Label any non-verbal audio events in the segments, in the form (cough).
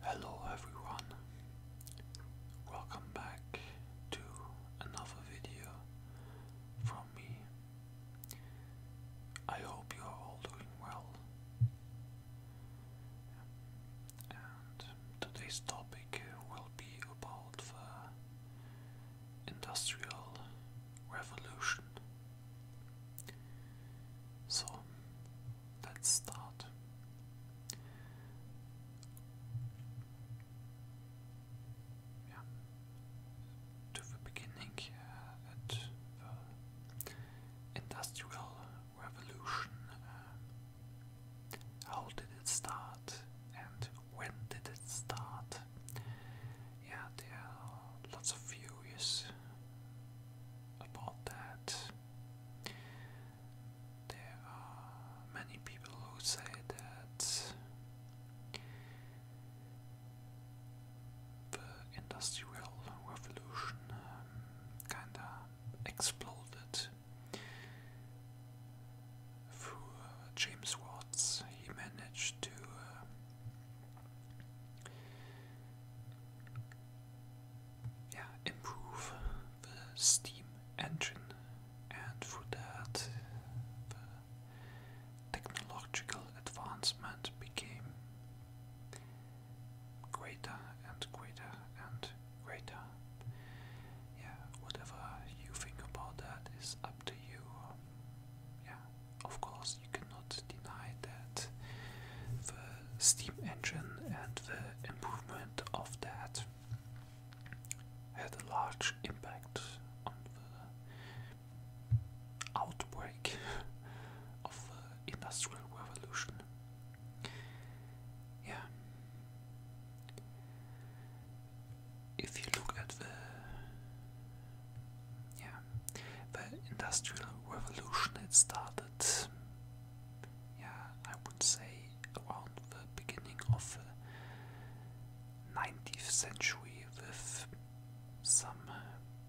Hello everyone, welcome back to another video from me. I hope you are all doing well. And today's topic will be about the Industrial Revolution. So let's start. To the beginning the Industrial Revolution. Uh, how did it start and when did it start? yeah, there are lots of views about that. There are many people who say that the Industrial Revolution um, kinda exploded through uh, James Watts. He managed to uh, yeah, improve the steam engine and for that technological advancement became greater and greater and greater. Yeah, whatever you think about that is up to you. Yeah of course you cannot deny that the steam engine and the improvement of that had a large impact on the outbreak of the industrial revolution. Yeah. If you look at the yeah, the Industrial Revolution had started. Yeah, I would say around the beginning of the 19th century, with some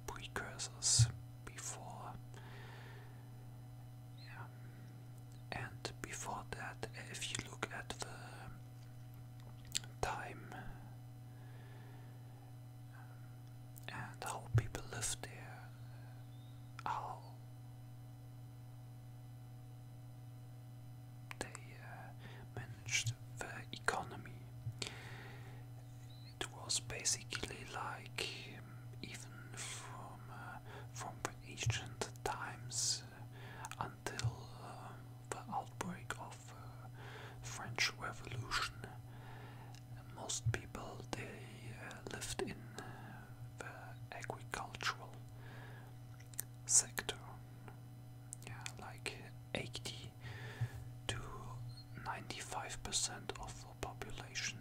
precursors before. Yeah. And before that, if you look at the time and how people lived there, how they uh, managed the economy. It was basically like um, even from uh, from the ancient times uh, until the outbreak of uh, French Revolution. Most people they uh, lived in the agricultural sector. like 80 to 95% of the population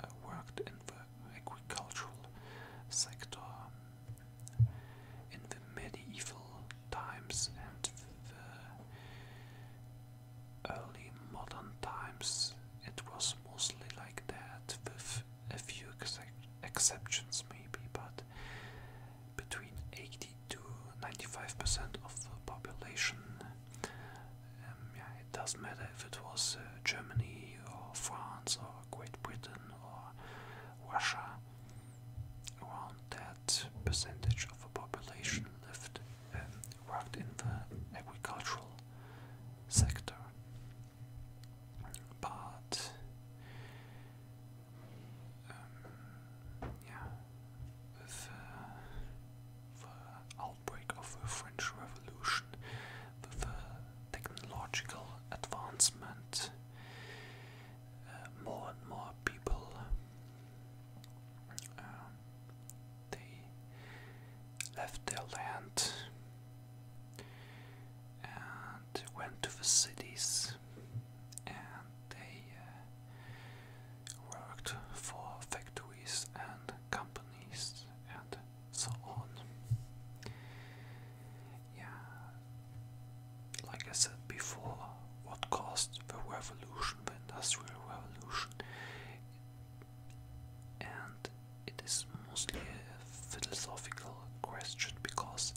uh, worked in the agricultural sector. In the medieval times and the early modern times, it was mostly like that, with a few exceptions maybe, but between 80 to 95% of the population. Um, it doesn't matter if it was uh, Germany or France or Great Britain or Russia. Around that percentage of the population lived um, worked in the agricultural sector. But um, with uh, the outbreak of the French Revolution, with the technological advancement, more and more people um, they left their land and went to the cities and they uh, worked for factories and companies and so on yeah, like I said before, what caused the revolution, the industrial revolution, and it is mostly a philosophical question because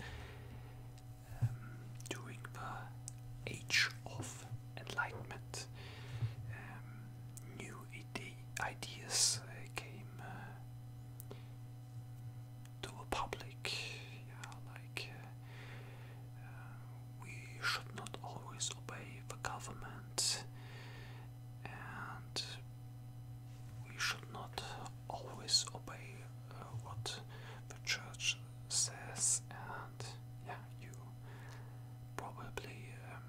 um, during the age of enlightenment, um, new ideas uh, came. Uh, to the public. Yeah, like uh, we should not always obey the government, and we should not always obey uh, what the church says. And yeah, you probably um,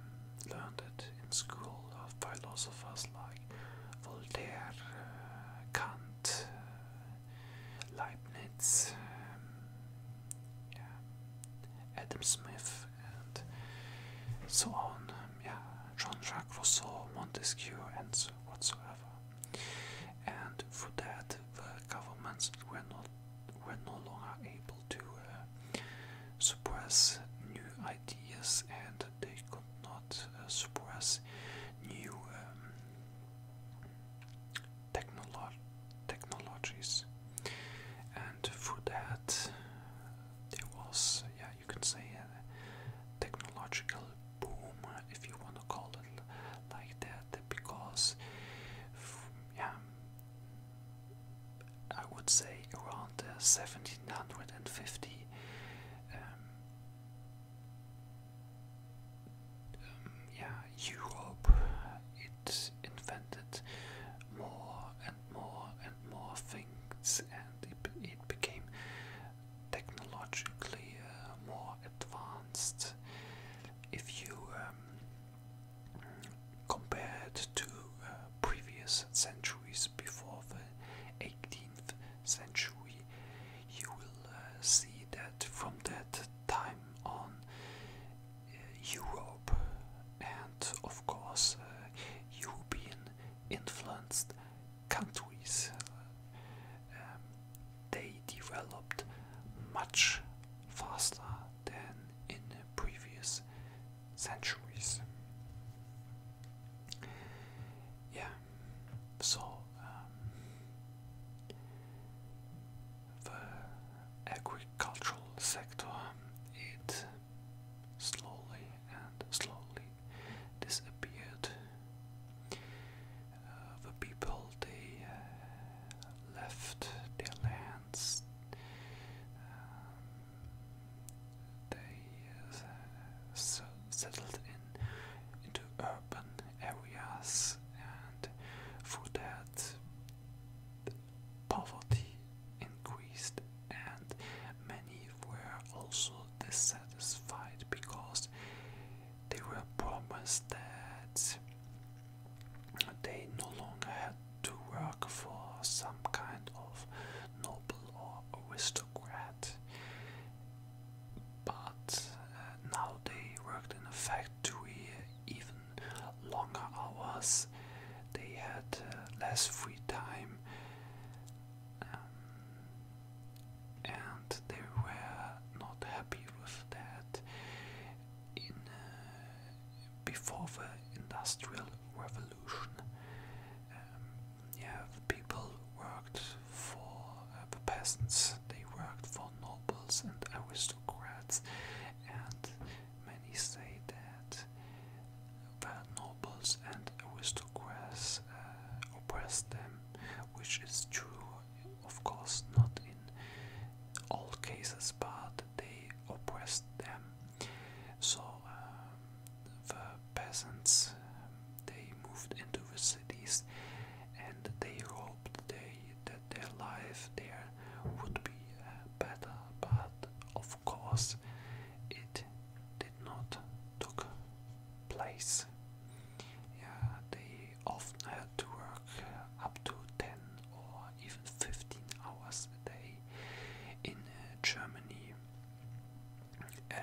learned it in school of philosophers like Voltaire, uh, Kant. Leibniz, um, Adam Smith, and so on. Um, yeah, Jean-Jacques Rousseau, Montesquieu, and so whatsoever. And for that, the governments were not were no longer able to uh, suppress new ideas, and they could not uh, suppress new um, technologies, and for that there was, yeah, you can say a technological boom, if you want to call it like that, because, yeah, I would say around 1750. Um, yeah, Europe, it invented more and more and more things, and it, became technologically uh, more advanced. If you um, compare it to uh, previous centuries before the 18th century, you will uh, see that from that time on, uh, Europe and of course uh, European influenced countries um, they developed much faster than in previous centuries. Yeah, so, um, the agricultural sector it slowly and slowly disappeared. Uh, the people they uh, left their lands. Um, they so uh, settled in into urban areas and for that poverty increased and many were also dissatisfied because they were promised that they no longer had to work for some kind of noble or aristocrat but uh, now they worked in a factory uh, even longer hours. They had uh, less free time, um, and they were not happy with that. In before the Industrial Revolution, um, yeah, the people worked for uh, the peasants, they worked for nobles and aristocrats, and many say that the nobles and aristocrats uh, oppressed them, which is true, of course, not in all cases, but they oppressed them. So, uh, the peasants they moved into the cities and they hoped they, that their life there would be uh, better, but of course it did not took place. Yeah, they often had to work uh, up to 10 or even 15 hours a day in uh, Germany.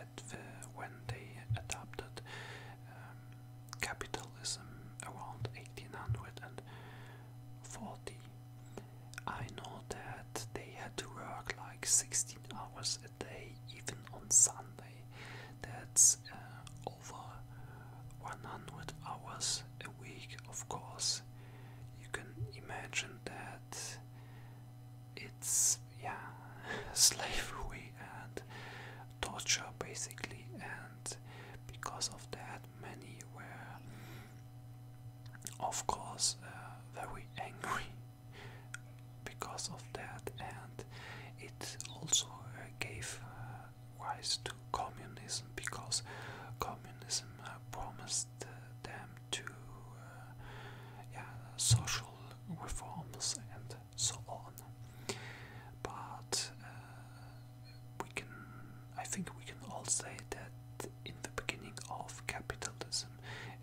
Uh, when they adopted um, capitalism around 1840. I know that they had to work like 16 hours a day, even on Sunday. That's uh, over 100 hours a week, of course. You can imagine that it's yeah, (laughs) slavery and torture basically, and because of that, many were, of course, uh, very angry (laughs) because of that, and it also uh, gave uh, rise to communism because communism promised them to uh, social reforms and so on. But uh, we can, I think, we can all say that in the beginning of capitalism,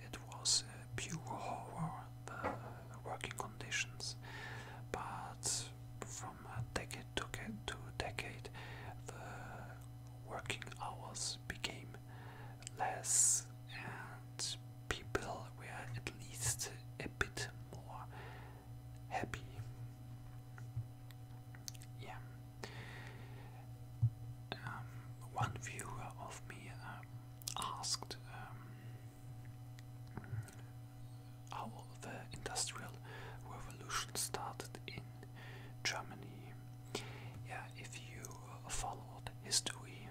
it was uh, pure horror, the working conditions. But from decade to decade, the working hours became less and people were at least a bit more happy. Yeah. Um, one viewer of me um, asked um, how the Industrial Revolution started in Germany, yeah, if you followed history,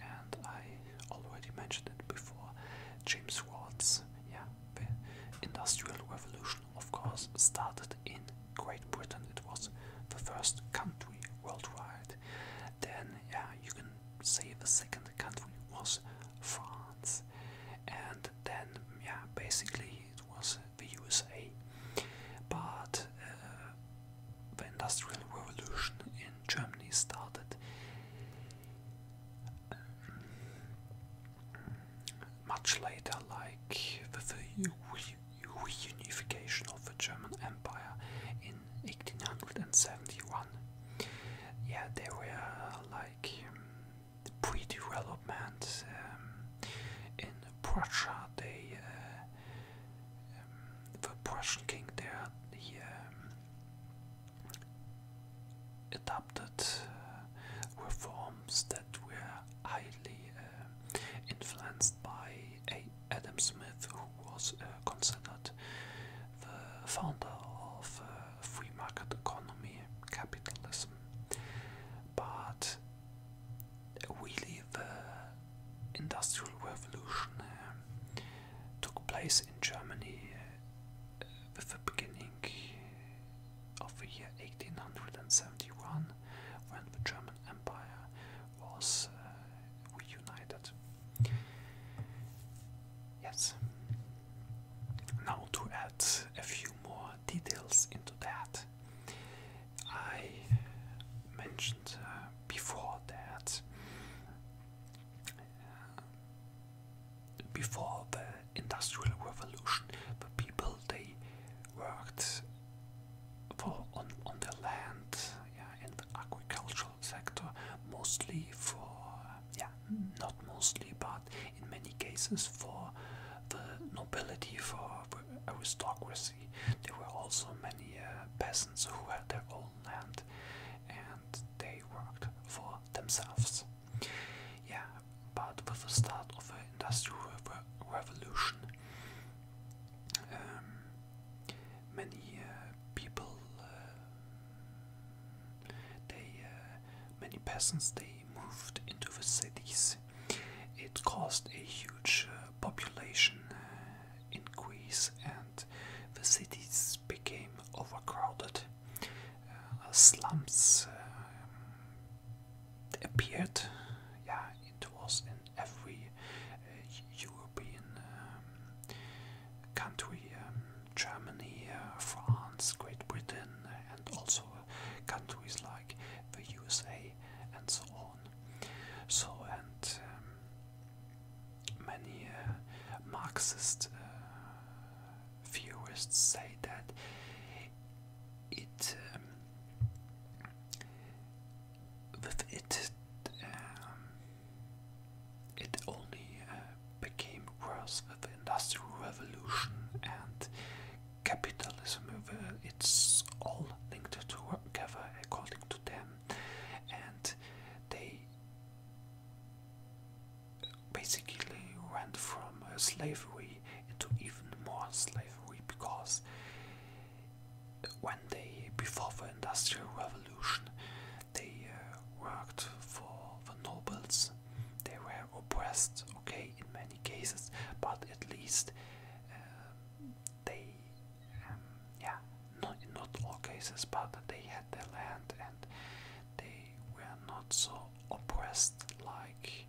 and I already mentioned it before, James Watt's yeah, Industrial Revolution, of course, started in Great Britain. It was the first country worldwide. Then, yeah, you can say the second country was France, and then, yeah, basically it was the USA. But uh, the Industrial Revolution in Germany started. much later, like the reunification of the German Empire in 1871. Yeah, they were like pre development um, in Prussia, they uh, um, the Prussian king there, he um, adopted uh, reforms that were highly uh, influenced by Adam Smith, who was uh, considered the founder of free market economy, capitalism. But really, the Industrial Revolution eh, took place in Germany eh, with the beginning of the year 1871 when the German Empire was eh, reunited. Yes. Now, to add a few more details into that, I mentioned uh, before that uh, before the industrial revolution the people they worked for on, on the land in the agricultural sector mostly for yeah not mostly but in many cases for the nobility for aristocracy. There were also many uh, peasants who had their own land and they worked for themselves. Yeah, but with the start of the Industrial Revolution, um, many uh, people, uh, they, many peasants, they moved into the cities it caused a huge uh, population uh, increase, and the cities became overcrowded. Uh, slums um, appeared. Yeah, it was in every European um, country: um, Germany, France, Great Britain, also countries like the USA and so on. So and um, many uh, Marxist uh, theorists say that it um, with it um, it only uh, became worse with the Industrial Revolution and capitalism. It's all linked together according to them, and they basically went from slavery into even more slavery because when they before the industrial revolution they uh, worked for the nobles they were oppressed, okay, in many cases, but at least uh, they, um, yeah, not not all cases, but they had their land and they were not so oppressed like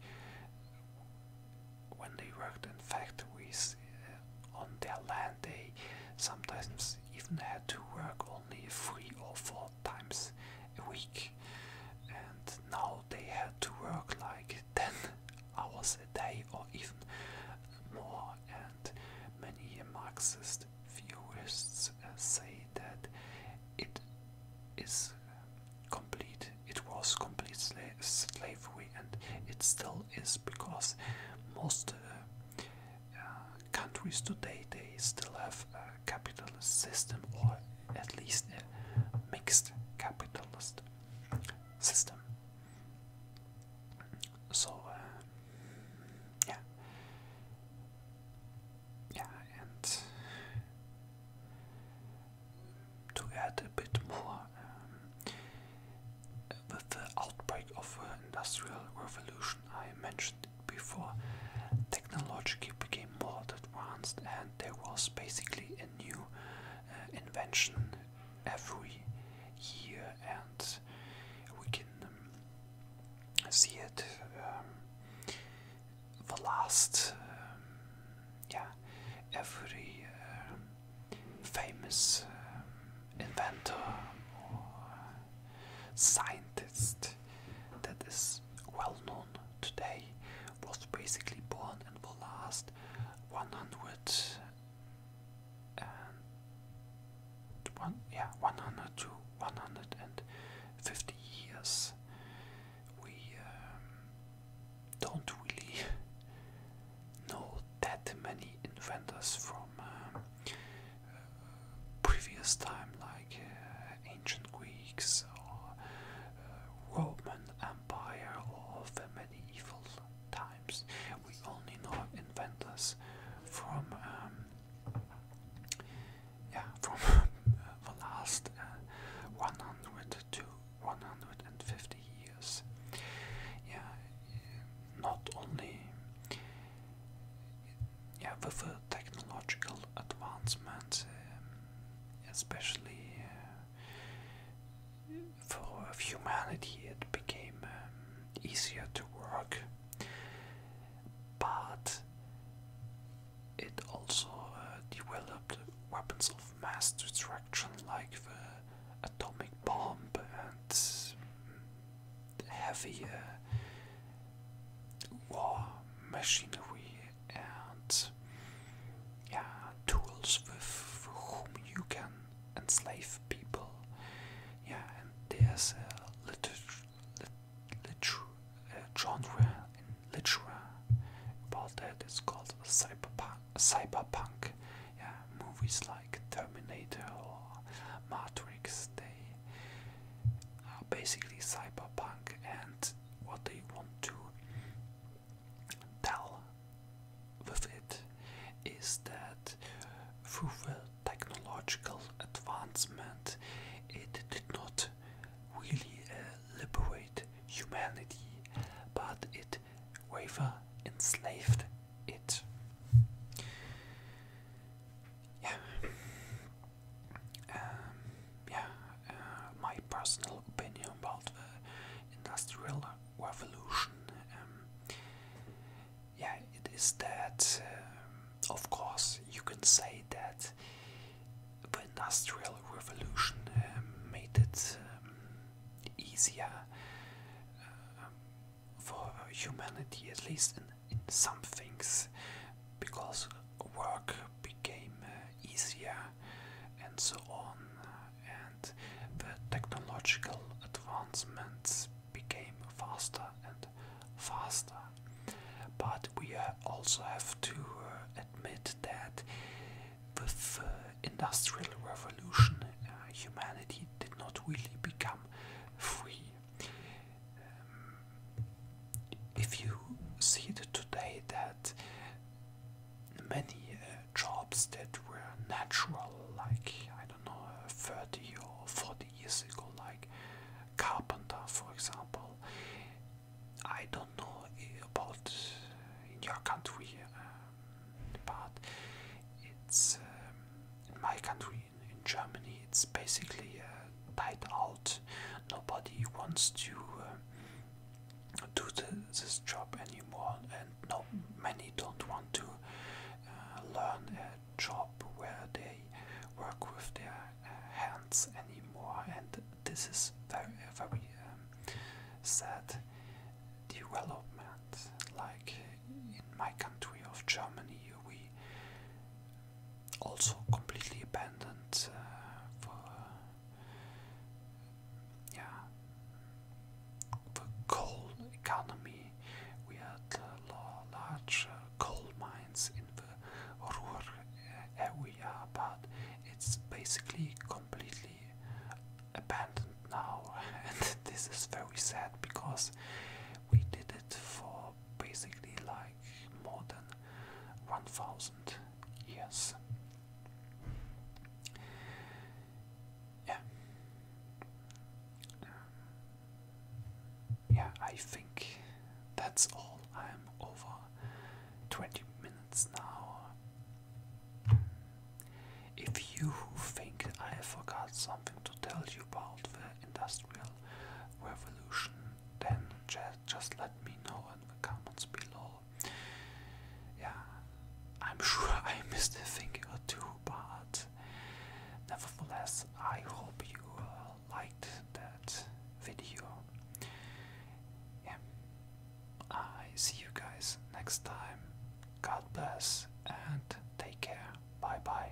when they worked in factories uh, on their land. They sometimes even had to work only three or four times a week, and now they had to work like 10 hours a day or even more, and many Marxist theorists uh, say that it is complete, it was completely slavery, and it still is because most uh, uh, countries today they still have a capitalist system or at least a mixed capitalist system. So, uh, yeah, yeah, and to add a bit more, um, with the outbreak of the Industrial Revolution, I mentioned it before, technology became more advanced, and there was basically new uh, invention every year, and we can um, see it. Um, the last, um, yeah, every famous inventor or scientist that is well known today was basically born in the last 100 yeah, 100 to 150 years. We um, don't really (laughs) know that many inventors from um, uh, previous time, like uh, ancient Greeks or uh, Roman Empire or the medieval times. We only know inventors from um, yeah from (laughs) the last uh, 100 to 150 years. Yeah, not only yeah with technological advancements. Um, especially uh, for humanity, it became um, easier to work, but it also uh, developed weapons of mass destruction like the atomic bomb and heavier uh, war machinery and yeah, tools with for whom you can enslave people. Yeah, and there's a literature, lit, uh, genre in literature about that. It's called cyberpunk. Cyberpunk. Yeah, movies like Terminator or Matrix. They are basically cyberpunk, and what they want to tell with it is that through technological advancement it did not really uh, liberate humanity but it rather enslaved it. Yeah. Um, yeah, uh, my personal opinion about the industrial revolution. Um, yeah, it is that, um, of course, you can say that the industrial revolution um, made it easier uh, for humanity, at least in some things, because work became uh, easier and so on, and the technological advancements became faster and faster. But we uh, also have to uh, admit that with the Industrial Revolution, humanity did not really become free. Um, if you see today that many uh, jobs that were natural like I don't know 30 or 40 years ago like carpenter for example I don't know uh, about in your country um, but it's um, in my country in Germany it's basically uh, died out. Nobody wants to uh, do this job anymore, and no, many don't want to uh, learn a job where they work with their uh, hands anymore, and this is very, very um, sad development. Like in my country of Germany, we also completely abandoned uh, for yeah the coal economy. We had uh, large uh, coal mines in the Ruhr area, but it's basically completely abandoned now, (laughs) and this is very sad because we did it for basically like more than 1000 years. yeah, I think that's all. I'm over 20 minutes now. If you think I forgot something to tell you about the industrial revolution, then just let me know in the comments below. Yeah, I'm (laughs) sure I missed a thing or two, but nevertheless, I hope you uh, liked that video. Yeah, I see you guys next time. God bless and take care. Bye bye.